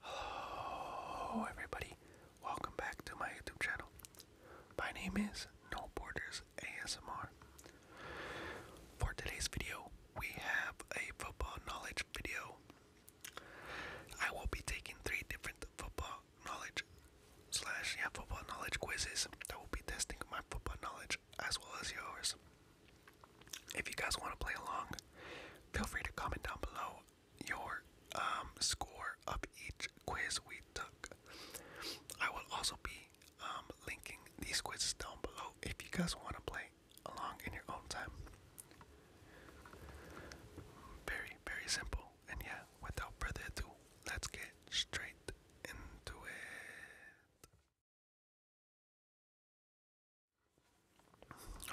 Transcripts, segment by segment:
Hello oh, everybody, welcome back to my YouTube channel. My name is No Borders ASMR. For today's video, we have a football knowledge video. I will be taking three different football knowledge slash yeah football knowledge quizzes that will be testing my football knowledge as well as yours if you guys want to play along, feel free to comment down below your um, score of each quiz we took. I will also be um, linking these quizzes down below if you guys want to play along in your own time. Very, very simple. And yeah, without further ado, let's get straight into it.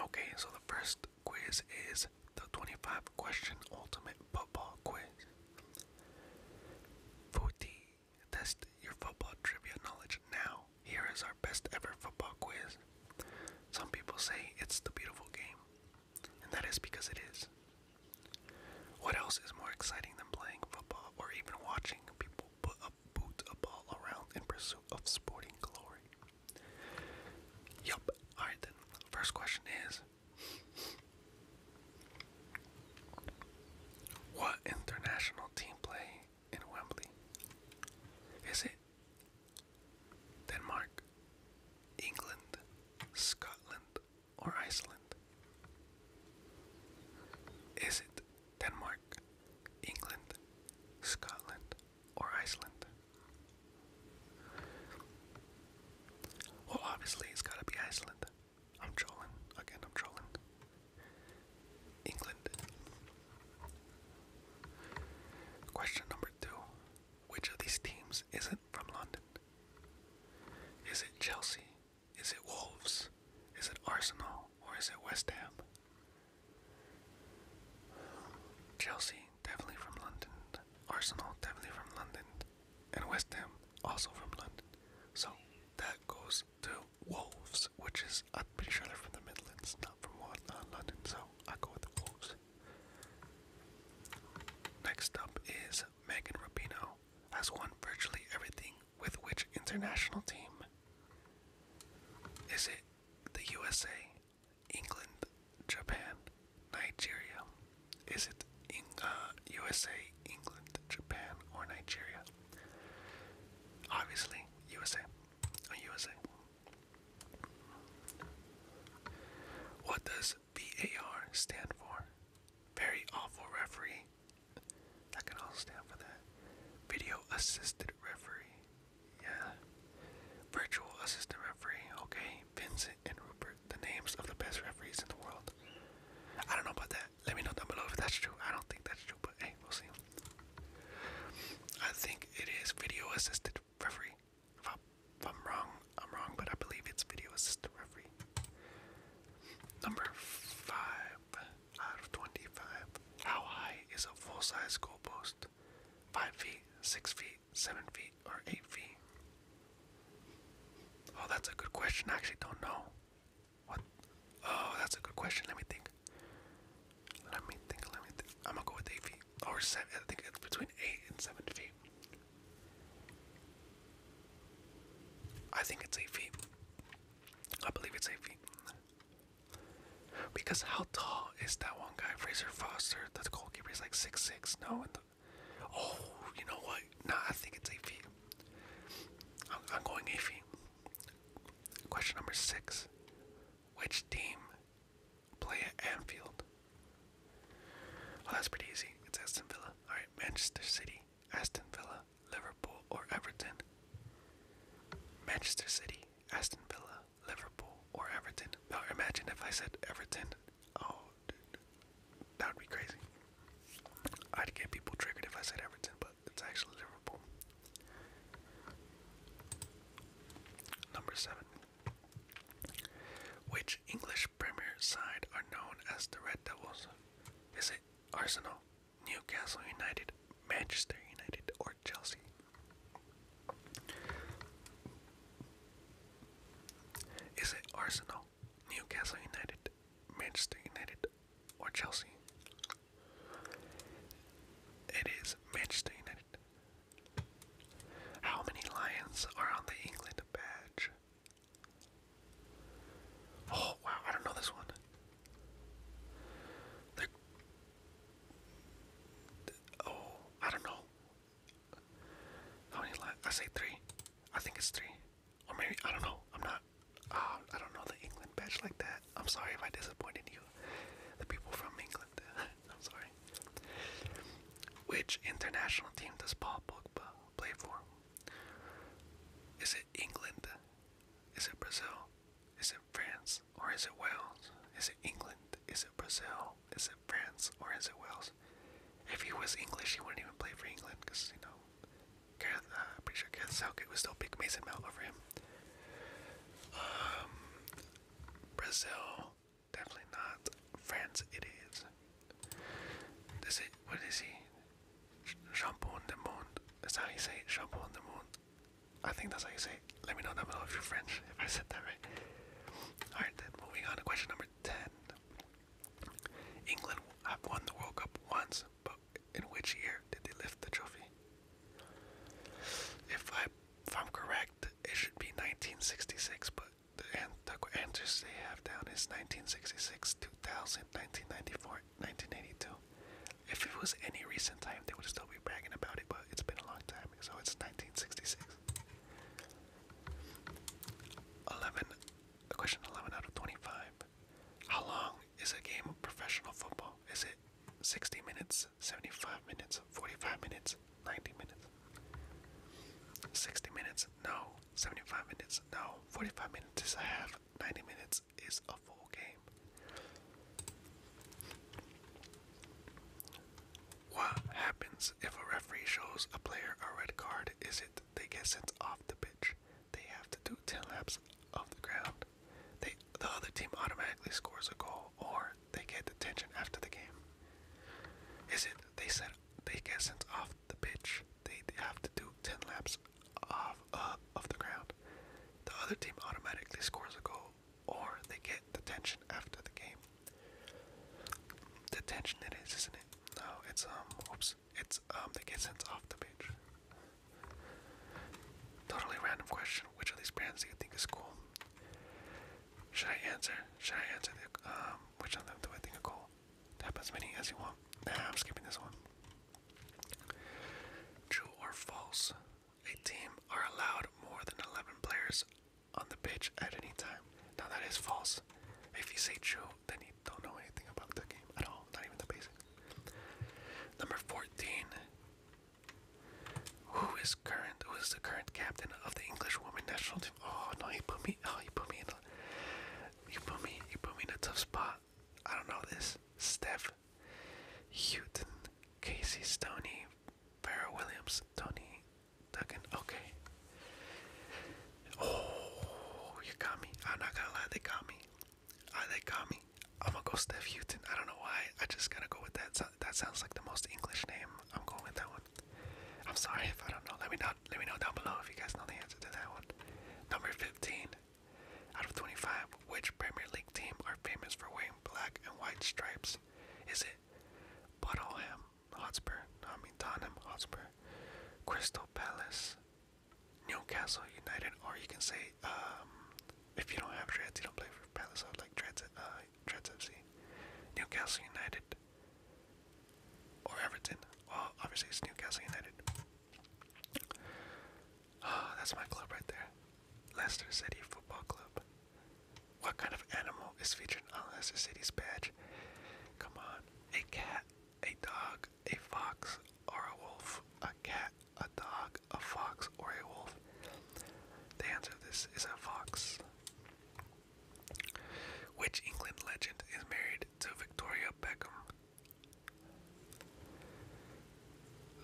Okay, so the first quiz is the 25 question ultimate football quiz. Footy, test your football trivia knowledge now. Here is our best ever football quiz. Some people say it's the beautiful game, and that is because it is. What else is more exciting than playing football or even watching people put a boot a ball around in pursuit of sporting glory. Yup. Alright then. First question is What international team play in Wembley? Is it Denmark, England, Scotland, or Iceland? Is it Denmark, England, Scotland, or Iceland? Well, obviously, it's gotta be Iceland. I'm trolling. Again, I'm trolling. England. Question number two Which of these teams isn't from London? Is it Chelsea? Is it Wolves? Is it Arsenal? Or is it West Ham? Chelsea, definitely from London. Arsenal, definitely from London. And West Ham, also from London. So that goes to Wolves, which is, I'm pretty sure they're from the Midlands, not from London. So I go with Wolves. Next up is Megan Rapinoe. Has won virtually everything with which international team? Is it the USA, England, Japan, Nigeria. Is it in, USA, uh, England, Japan, or Nigeria? Obviously, USA. USA. What does VAR stand for? Very awful referee. That can all stand for that. Video assisted referee. Yeah. Virtual assistant referee. Okay. Vincent and Rupert. The names of the best referees in the world. I don't know about that. Let me know down below if that's true. I don't think that's true, but hey, we'll see. I think it is video assisted referee. If, I, am wrong, I'm wrong, but I believe it's video assisted referee. Number five out 25. How high is a full size post? 5 feet, 6 feet, 7 feet, or 8 feet? Oh, that's a good question. I actually don't know. What? Oh, that's a good question. Let me think. Let me think. Let me think. I'm gonna go with 8 feet. Or 7. I think it's between 8 and 7 feet. I think it's 8 feet. I believe it's 8 feet. Because how tall is that one guy, Fraser Foster? The goalkeeper is like six six. No, oh, you know what? Nah, I think it's eight feet. I'm, going eight Question number six: Which team play at Anfield? Oh, that's pretty easy. It's Aston Villa. All right, Manchester City, Aston Villa, Liverpool, or Everton. Manchester City. Aston Villa, Liverpool, or Everton. imagine if I said Everton. Oh, dude, that would be crazy. I'd get people triggered if I said Everton, but it's actually Liverpool. Number seven. Which English Premier side are known as the Red Devils? Is it Arsenal, Newcastle United, Manchester United, or Chelsea. Is it Arsenal, Newcastle United, Manchester United, or Chelsea? It is Manchester United. How many lions are on the England badge? Oh wow, I don't know this one oh, I don't know. How many I say three. I think it's three. Or maybe, I don't know. I'm not, uh, I don't know the England badge like that. I'm sorry if I disappointed you. The people from England. I'm sorry. Which international team does Paul Pogba play for? Is it England? Is it Brazil? Is it France? or is it Wales? Is it England? Is it Brazil? Is it France or is it Wales? If he was English, he wouldn't even play for England because, you know, Gareth, uh, I'm pretty sure Gareth Southgate would still big Mason Mount over him. Um, Brazil, definitely not. France, it is. This is, what is he? Sh Shampoo on the Moon. That's how he say it, Shampoo on the Moon. I think that's how you say it. Let me know down below if you're French, if I said that right. Alright, then moving on to question number 10. England have won the World Cup once, but in which year did they lift the trophy? If, I, if I'm correct, it should be 1966, but the, an the answers they have down is 1966, 2000, 1994, 1982. If it was any recent time, they would still be bragging about it, but it's been a long time, so it's 1966. 11. Question 11 out of 25. How long is a game of professional football? Is it 60 minutes, 75 minutes, 45 minutes, 90 minutes? 60 minutes? No. 75 minutes? No. 45 minutes is a half. 90 minutes is a full game. What happens if a referee shows a player a red card? Is it they get sent off the pitch? They have to do 10 laps of the ground. They, the other team automatically scores a goal, or they get detention after the game. Is it they set they get sent off the pitch? They have to do 10 laps off uh, of the ground. The other team automatically scores a goal, or they get detention after the game. Detention it is, isn't it? No, it's um, whoops, it's um, they get sent off the pitch. Totally random question. Which of these brands do you think is cool? Should I answer? Should I answer the um? Which of them do I think are cool? Tap as many as you want. Nah, I'm skipping this one. True or false? A team are allowed more than 11 players on the pitch at any time. Now that is false. If you say true, then you don't know anything about the game at all, not even the basics. Number 14. Who is current? Who is the current captain of the English women national team? Oh no, he put me. Oh, you put me in. put me. You put me in a tough spot. I don't know this. Steph Houghton, Casey Stoney, Farrah Williams, Tony Duncan. Okay. Oh, you got me. I'm not gonna lie, they got me. Uh, they got me. I'm gonna go Steph Houghton. I don't know why. I just gotta go with that. that sounds like the most English name. I'm going with that one. I'm sorry if I don't know. Let me know. Let me know down below if you guys know the answer to that one. Number fifteen. Out of 25, which Premier League team are famous for wearing black and white stripes? Is it Bottleham Hotspur? Tottenham Crystal Palace, Newcastle United, or you can say, um, if you don't have Dreads, you don't play for Palace, I like Dreads, uh, FC, Newcastle United, or Everton. Well, obviously it's Newcastle United. Ah, that's my club right there. Leicester City Football Club. What kind of animal is featured on Leicester City's badge? Come on. A cat, a dog, a fox, or a wolf. A cat, a dog, a fox, or a wolf. The answer to this is a fox. Which England legend is married to Victoria Beckham?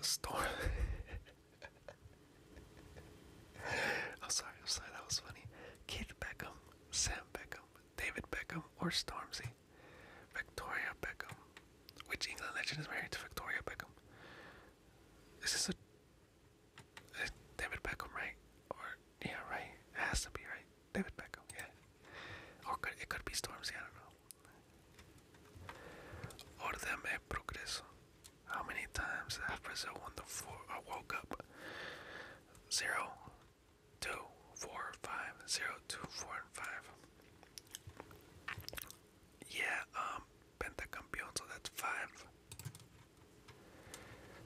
Storm. I'm sorry, I'm sorry, that was funny. Keith Beckham, Sam Beckham, David Beckham, or Stormzy. Victoria Beckham. Which England legend is married to Victoria Beckham? Is a. David Beckham, right? Or. Yeah, right. has to be, right? David Beckham, yeah. Or could, it could be Stormzy, I don't know. Orden e progreso. How many times have Brazil won the four, uh, World Cup? Zero, two, four, five, zero, two, four, and five. Yeah, um, pentacampeon, so that's five.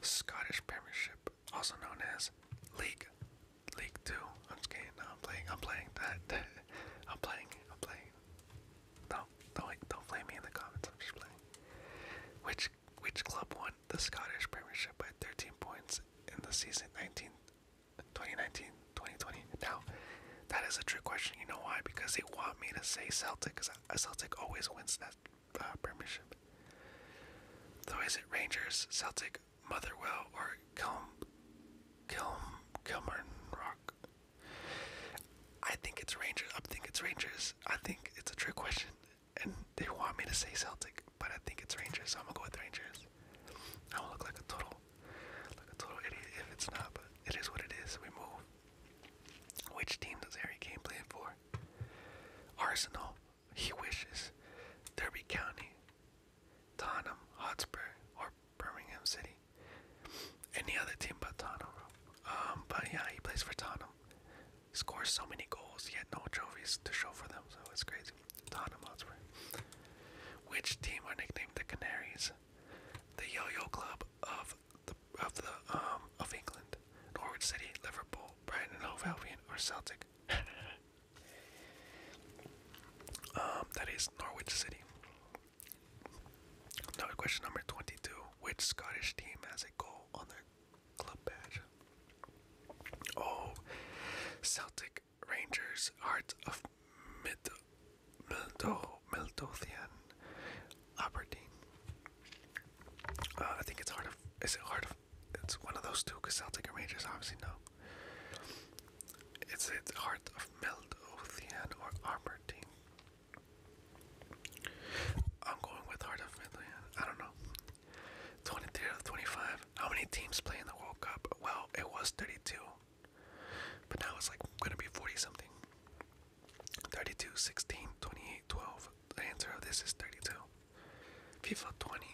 Scottish Premiership, also known as League League Two. I'm playing. I'm playing that. I'm playing. I'm playing. do don't don't blame me in the comments. I'm just playing. Which which club won the Scottish Premiership by 13 points in the season 19, 2019, 2020? Now, that is a trick question. You know why? Because they want me to say Celtic, because Celtic always wins that uh, Premiership. Though is it Rangers, Celtic, Motherwell or Kelm Kelm Kelmern Rock. I think it's Rangers. I think it's Rangers. I think it's a trick question, and they want me to say Celtic, but I think it's Rangers, so I'm gonna go with Rangers. I will look like a total, like a total idiot if it's not, but it is what it is. We move. Which team does Harry Kane play for? Arsenal. He wishes. Derby County. Tottenham Hotspur or Birmingham City. Any other team but Tottenham. Um, but yeah, he plays for Tottenham. Scores so many goals, He had no trophies to show for them, so it's crazy. Tottenham Hotspur. Which team are nicknamed the Canaries? The Yo-Yo Club of the of the um of England, Norwich City, Liverpool, Brighton, and Hove Albion, or Celtic. Um, that is Norwich City. Now, question number 22. Which Scottish team has a goal on their club badge? Oh, Celtic Rangers, Heart of Mid Mildo Mildothian Aberdeen. Uh, I think it's Heart of. Is it Heart of? It's one of those two, because Celtic and Rangers obviously no. It's the heart of Meldothian or armored I'm going with Heart of Midland. I don't know. 23 out of 25. How many teams play in the World Cup? Well, it was 32. But now it's like going to be 40 something. 32, 16, 28, 12. The answer of this is 32. FIFA 20.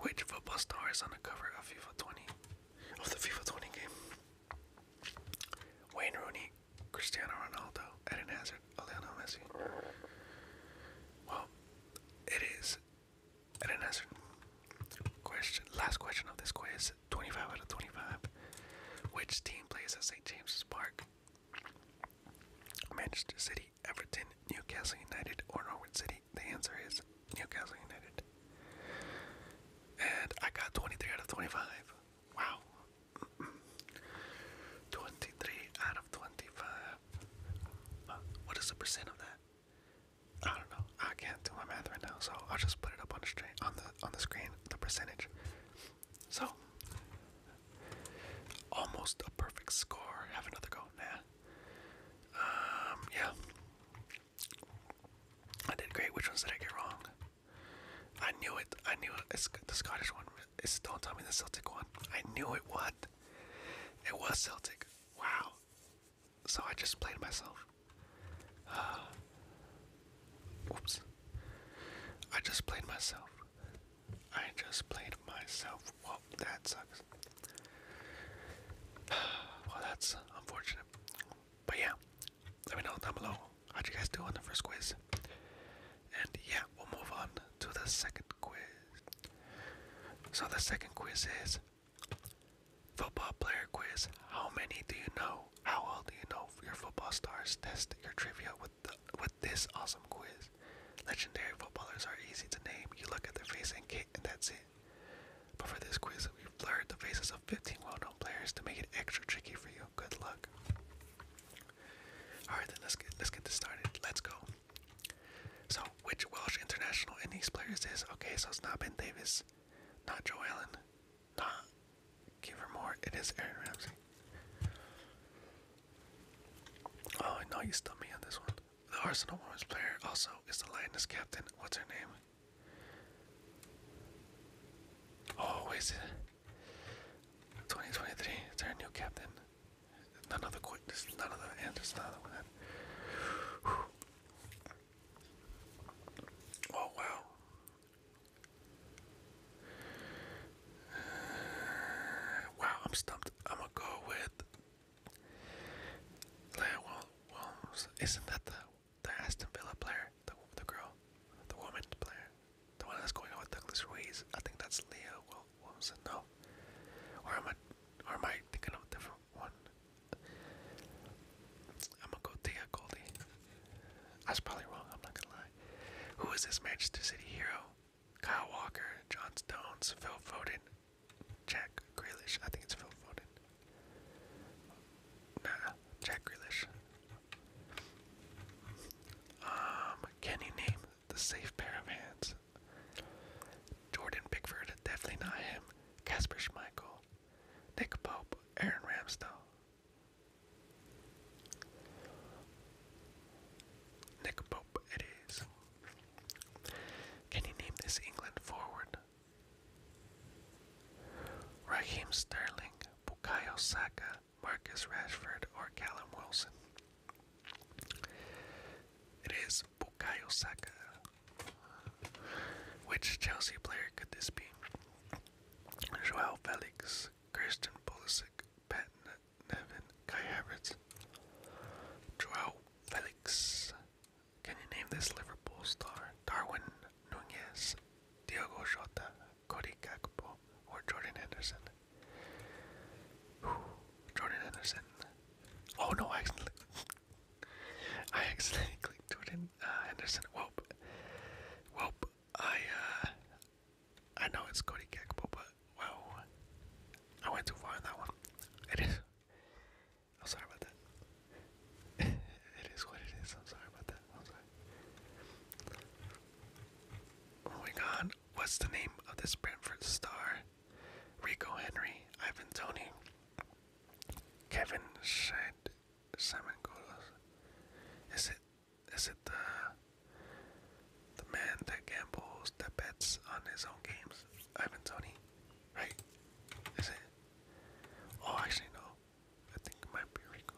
Which football star is on the cover of FIFA 20 of the FIFA 20 game? Wayne Rooney, Cristiano Ronaldo, Eden Hazard, Lionel Messi. Well, it is Eden Hazard. Question last question of this quiz, 25 out of 25. Which team plays at St. James's Park? Manchester City, Everton, Newcastle United or Norwood City? The answer is Newcastle United. And I got 23 out of 25. Wow. 23 out of 25. What is the percent of that? I don't know. I can't do my math right now, so I'll just put it up on the screen. On the on the screen, the percentage. So, almost a perfect score. Have another go. Nah, um, yeah. I did great. Which ones did I get wrong? I knew it. I knew it. It's the Scottish one. It's, don't tell me the Celtic one. I knew it. What? It was Celtic. Wow. So I just played myself. oops. I just played myself. I just played myself. Oh, that sucks. Well, that's unfortunate. But yeah, let me know down below how'd you guys do on the first quiz. And yeah, we'll move on to the second quiz. So the second quiz is football player quiz. How many do you know? How well do you know your football stars? Test your trivia with the, with this awesome quiz. Legendary footballers are easy to name. You look at their face and that's it. But for this quiz, we've blurred the faces of 15 well-known players to make it extra tricky for you. Good luck. Alright then, let's get, let's get this started. Let's go. So, which Welsh international in these players is? Okay, so it's not Ben Davis, not Joe Allen, not Givermore, it is Aaron Ramsey. Oh, I you stumped me on this one. The Arsenal Women's player also is the Lioness captain. What's her name? Oh, is it? 2023. Is there a new captain. None of None of None of Oh wow. Uh, wow, I'm stumped. I'm gonna go with Leah Williams, isn't that the, the Aston Villa player? The, the girl, the woman player? The one that's going on with Douglas Ruiz? I think that's Leah Wil no? Or am, I, or am I thinking of a different one? I'm gonna go Thea Goldie. I was probably wrong, I'm not gonna lie. Who is this Manchester City hero? Kyle Walker, John Stones, Phil Foden, Jack Grealish. I think it's Phil Foden. Nah, Jack Grealish. Um, can you name the safe pair of hands? Jordan Pickford, definitely not him. Casper Schmeichel, Nick Pope, Aaron Ramsdale. Nick Pope it is. Can you name this England forward? Raheem Sterling, Bukayo Saka, Marcus Rashford, or Callum Wilson? It is Bukayo Saka. Which Chelsea player could this be? Joao Felix, Kirsten Pulisic, Pat Nevin, Kai Havertz, Joao Felix. Can you name this Liverpool star? Darwin Nunez, Diego Jota, Cody Gakpo, or Jordan Henderson? Whew, Jordan Henderson. Oh no, I accidentally, I accidentally clicked Jordan uh, Henderson. Welp. Welp. I, uh, I know it's Cody Gakpo, but Whoa. I went too far in that one. It is. I'm sorry about that. it is what it is. I'm sorry about that. I'm What's the name of this Brentford star? Rico Henry, Ivan Tony, Kevin Shed, Simon Godos. Is it is it the the man that gambles, that bets on his own games, Ivan Tony, right? Is it? Oh, actually no. I think might be Rico.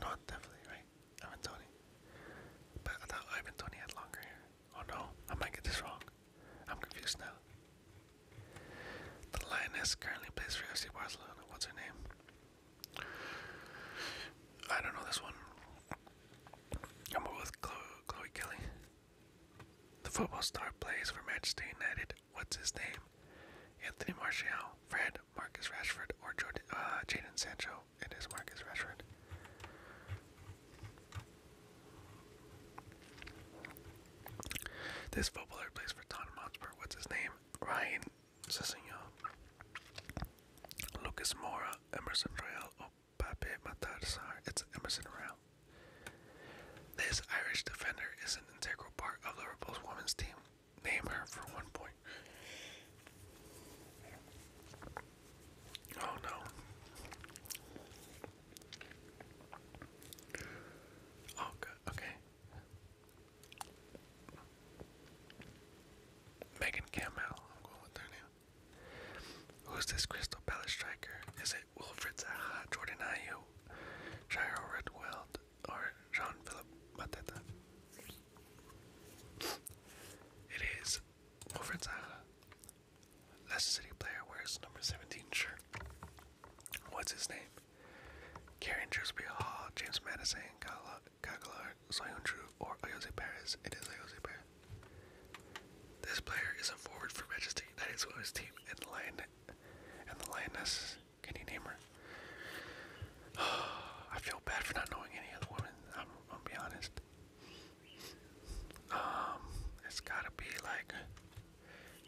No, definitely right. Ivan Tony. But I thought Ivan Tony had longer hair. Oh no, I might get this wrong. I'm confused now. The lioness currently plays for FC Barcelona. What's her name? I don't know this one. I'm with Chloe, Chloe Kelly. The football star plays for Manchester United. What's his name? Anthony Martial, Fred, Marcus Rashford, or Jordan, uh, Jaden Sancho. It is Marcus Rashford. This footballer plays for Tottenham Hotspur. What's his name? Ryan Sessegnon. Lucas Mora, Emerson Royale, Pape Matarsar, it's Emerson Rao. This Irish defender is an integral part of Liverpool's women's team. Name for one point. Oh no. Oh good, okay. Megan Campbell, I'm going with her name. Who's this Crystal Palace striker? Is it Wilfred Zaha, Jordan Ayew, Jairo Redweld, or Jean-Philippe Mateta? It is Wilfred Zaha. Leicester City player wears number 17 shirt. What's his name? Karen Drewsby Hall, James Madison, Kaglar, Soyuncu, or Ayose Perez. It is Ayose Perez. This player is a forward for Majesty United Swell's team and the Lioness. Can you name her? I feel bad for not knowing any other women. I'm, gonna be honest. Um, it's gotta be like,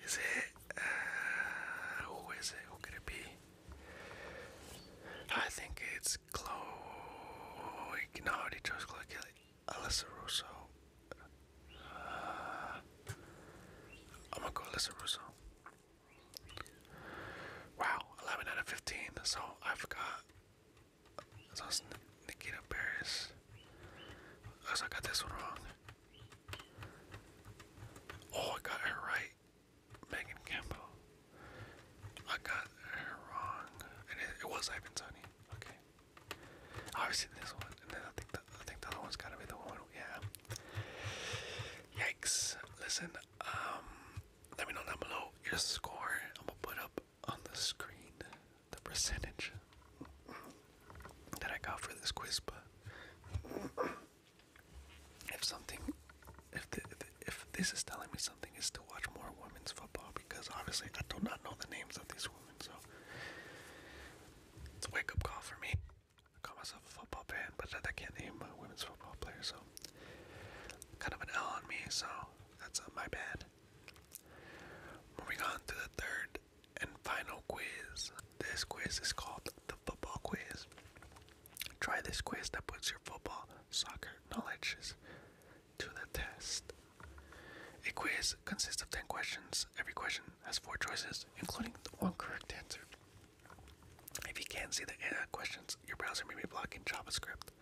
is it? Uh, who is it? Who could it be? I think it's Chloe. No, they chose Chloe Kelly. Alyssa Russo. I'm gonna go Alyssa Russo. Wow, 11 out of 15. So I forgot. So it's Nikita Paris. Unless oh, I got this one wrong. Oh, I got her right. Megan Campbell. I got her wrong. And it, was Ivan Okay. Obviously this one, and then I think the, I think the other one's gotta be the one. Yeah. Yikes! Listen, um, let me know down below your score. I'm gonna put up on the screen the percentage that I got for this quiz, but if something, if, the, if this is telling me something, is to watch more women's football because obviously I do not know the names of these women. So it's a wake up call for me. I call myself a football fan, but I can't name a women's football players, so kind of an L on me. So that's uh, my bad. Moving on to the third and final quiz. This quiz is called the football quiz. Try this quiz that puts your football soccer knowledge to the test. A quiz consists of 10 questions. Every question has four choices, including one correct answer. If you can't see the questions, your browser may be blocking JavaScript.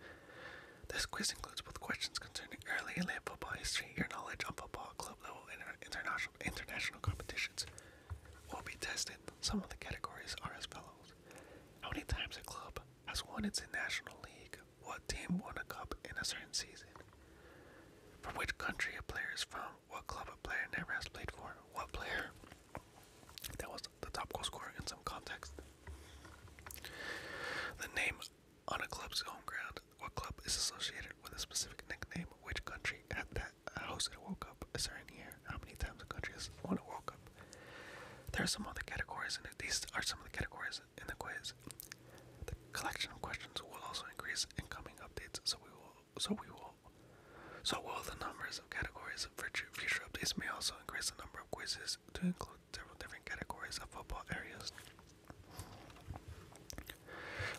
This quiz includes both questions concerning early and late football history, your knowledge on football, club level, and international, international competitions will be tested. Some of the categories are as follows How many times a club has won its National League? What team won a cup in a certain season? From which country a player is from? What club a player never has played for? What player that was the top goal scorer in some context? The name on a club's home ground. What club is associated with a specific nickname? Which country at that hosted a World Cup a certain year? How many times a country has won a World Cup? There are some other categories, and these are some of the categories in the quiz. The collection of questions will also increase in coming updates, so we will, so we will, so will the numbers of categories Future future updates may also increase the number of quizzes to include several different categories of football areas.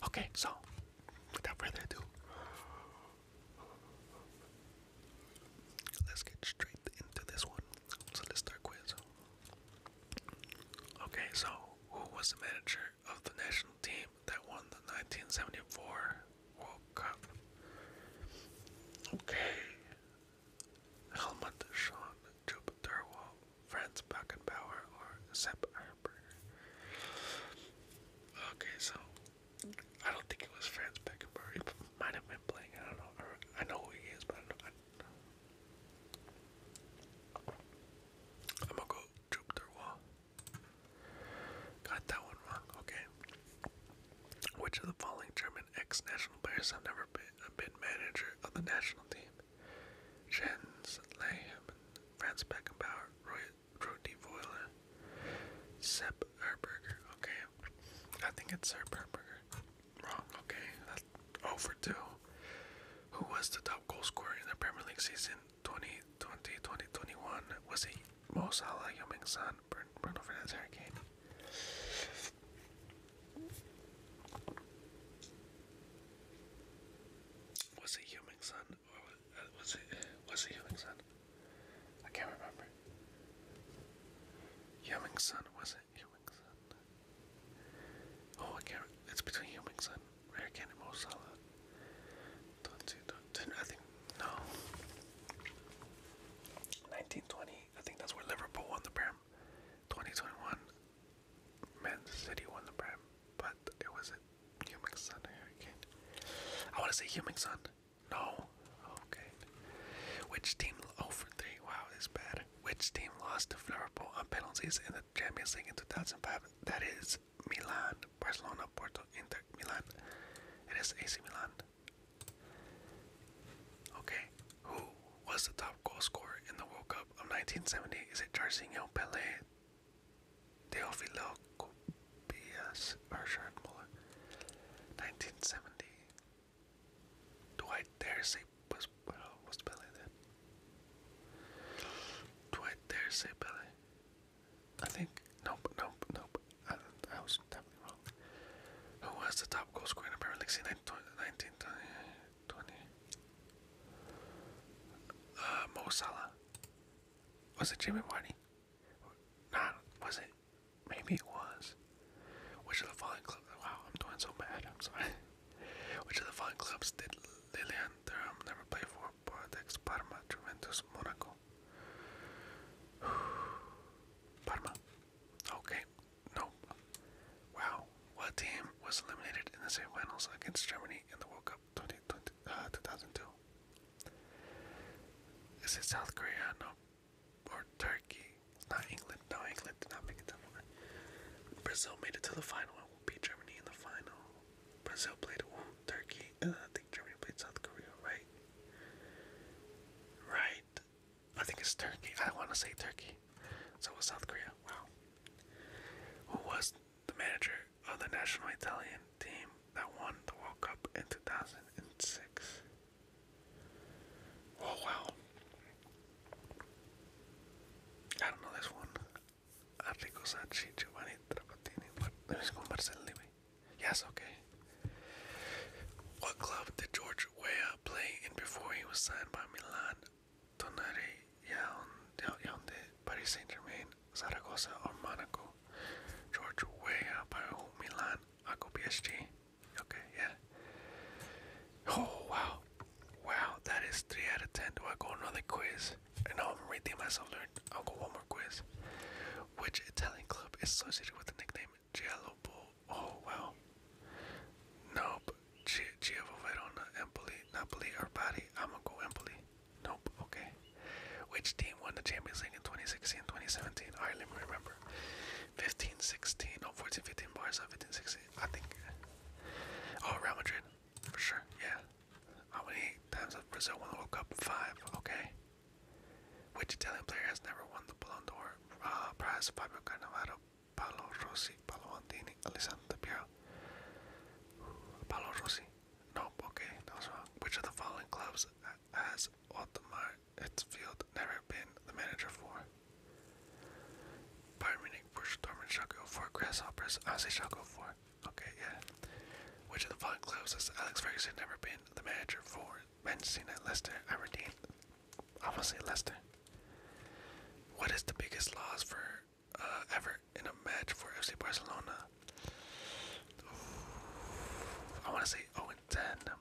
Okay, so without further ado, Let's get straight into this one. So let's start quiz. Okay, so who was the manager of the national team that won the 1974 World Cup? Okay. Helmut Sean Jupiterwall, Franz Beckenbauer, or Sepp Herber. Okay, so I don't think it was Franz Beckenbauer might have been playing. I don't know. I know who he is, but I don't. I, I'm gonna go troop wall. Got that one wrong. Okay. Which of the following German ex-national players have never been a uh, manager of the national team? Jens Lehmann, Franz Beckenbauer, Roy, Rudy Voila, Sepp Herberger. Okay, I think it's Sepp Herberger. Wrong. Okay, that's over two. Who was the top goal scorer in the Premier League season 2020-2021? Was he Mo Salah, Yoming San, Bruno Fernandes, Harry Kane? Was it or uh, was he was Sun? I can't remember. Hummingson, was it? Hummingson. Oh, I It's between Hummingson, Rare Candy, Mo Salah. I think, no. 1920, I think that's where Liverpool won the Prem. 2021, Man City won the Prem, but it was a Hummingson hurricane. I want to say Hummingson. No. Okay. Which team? Oh, for three. Wow, this bad. Which team lost to Liverpool on penalties in the Champions League in 2005? That is Milan, Barcelona, Porto, Inter, Milan. It is AC Milan. Okay. Who was the top goal scorer in the World Cup of 1970? Is it Jarzinho, Pelé, Teofilo Copias, or Muller? 1970. Do I dare say what's, what's Billy then? Do I dare say Billy? I think nope, nope, nope. I, I was definitely wrong. Who was the top goal scorer in Premier League? 19, 20. Uh, Mo Was it Jimmy Vardy? Nah, was it? Maybe it was. Which of the following clubs? Wow, I'm doing so bad. I'm sorry. Which of the following clubs did Lilian Thuram never play for? Bordeaux, Parma, Juventus, Monaco. Parma. Okay. No. Wow. What team was eliminated in the semifinals against Germany in the World Cup 20, 2002? Uh, Is it South Korea? No or Turkey. not England. No, England did not make it to the final. Brazil made it to the final and will beat Germany in the final. Brazil played ooh, Turkey, and uh, I think Germany played South Korea, right? Right. I think it's Turkey. I don't want to say Turkey. So was South Korea. Wow. Who was the manager of the national Italian team that won the World Cup in 2006? Oh wow. I don't know this one. Arrigo Sanchi, Giovanni Trapattini. What? Let me go Marcelli. Yes, okay. What club did George Weah play in before he was signed by Milan, Tonari, Yaoundé, Paris Saint-Germain, Zaragoza, or Monaco? George Weah by whom Milan, Aco PSG. Okay, yeah. Oh wow. Wow, that is three out of ten. Do I go another quiz? And now I'm reading myself learn. I'll go one more quiz. Which Italian club is associated with the nickname Giallo Oh wow. Nope. Chievo Verona, Empoli, Napoli, or Bari. I'm gonna go Empoli. Nope. Okay. Which team won the Champions League in 2016 2017? I remember remember. 15, 16, oh, 14, 15, Barca, I think. Oh, Real Madrid, for sure, yeah. How many times has Brazil won the World Cup? Five, okay. Which Italian player has never won the Ballon d'Or uh, prize? Fabio Cannavaro, Paolo Rossi, Paolo Andini, Alessandro Piero, Paolo Rossi. Nope, okay, that wrong. Which of the following clubs has Ottomar it's Field never been the manager for. Bayern Munich, Dortmund shall go for. Grasshoppers, Aussie shall go for. Okay, yeah. Which of the following clubs has Alex Ferguson never been the manager for? Manchester United, Leicester, to say Leicester. What is the biggest loss for uh, ever in a match for FC Barcelona? I want to say 0 and 10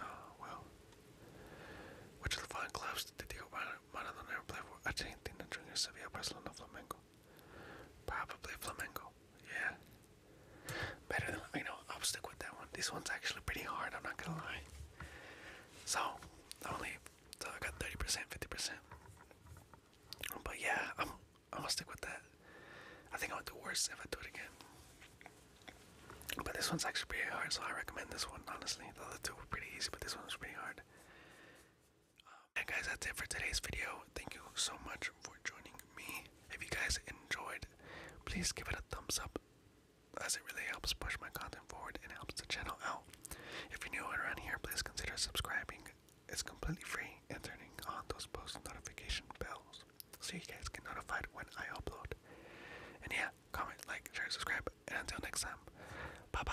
Oh, wow. Which of the following clubs did Diego Maradona never play for? Argentina, Junior, Sevilla, Barcelona, Flamengo. Probably Flamengo. Yeah. Better than, you know, I'll stick with that one. This one's actually pretty hard, I'm not gonna lie. So, only, so I got 30%, 50%. But yeah, I'm, I'm gonna stick with that. I think I would do worse if I do it again. But this one's actually pretty hard, so I recommend this one, honestly. The other two were pretty easy, but this one was pretty hard. Um, and guys, that's it for today's video. Thank you so much for joining me. If you guys enjoyed, please give it a thumbs up as it really helps push my content forward and helps the channel out. If you're new around here, please consider subscribing. It's completely free and turning on those post notification bells so you guys get notified when I upload. And yeah, comment, like, share, subscribe, and until next time, bye bye.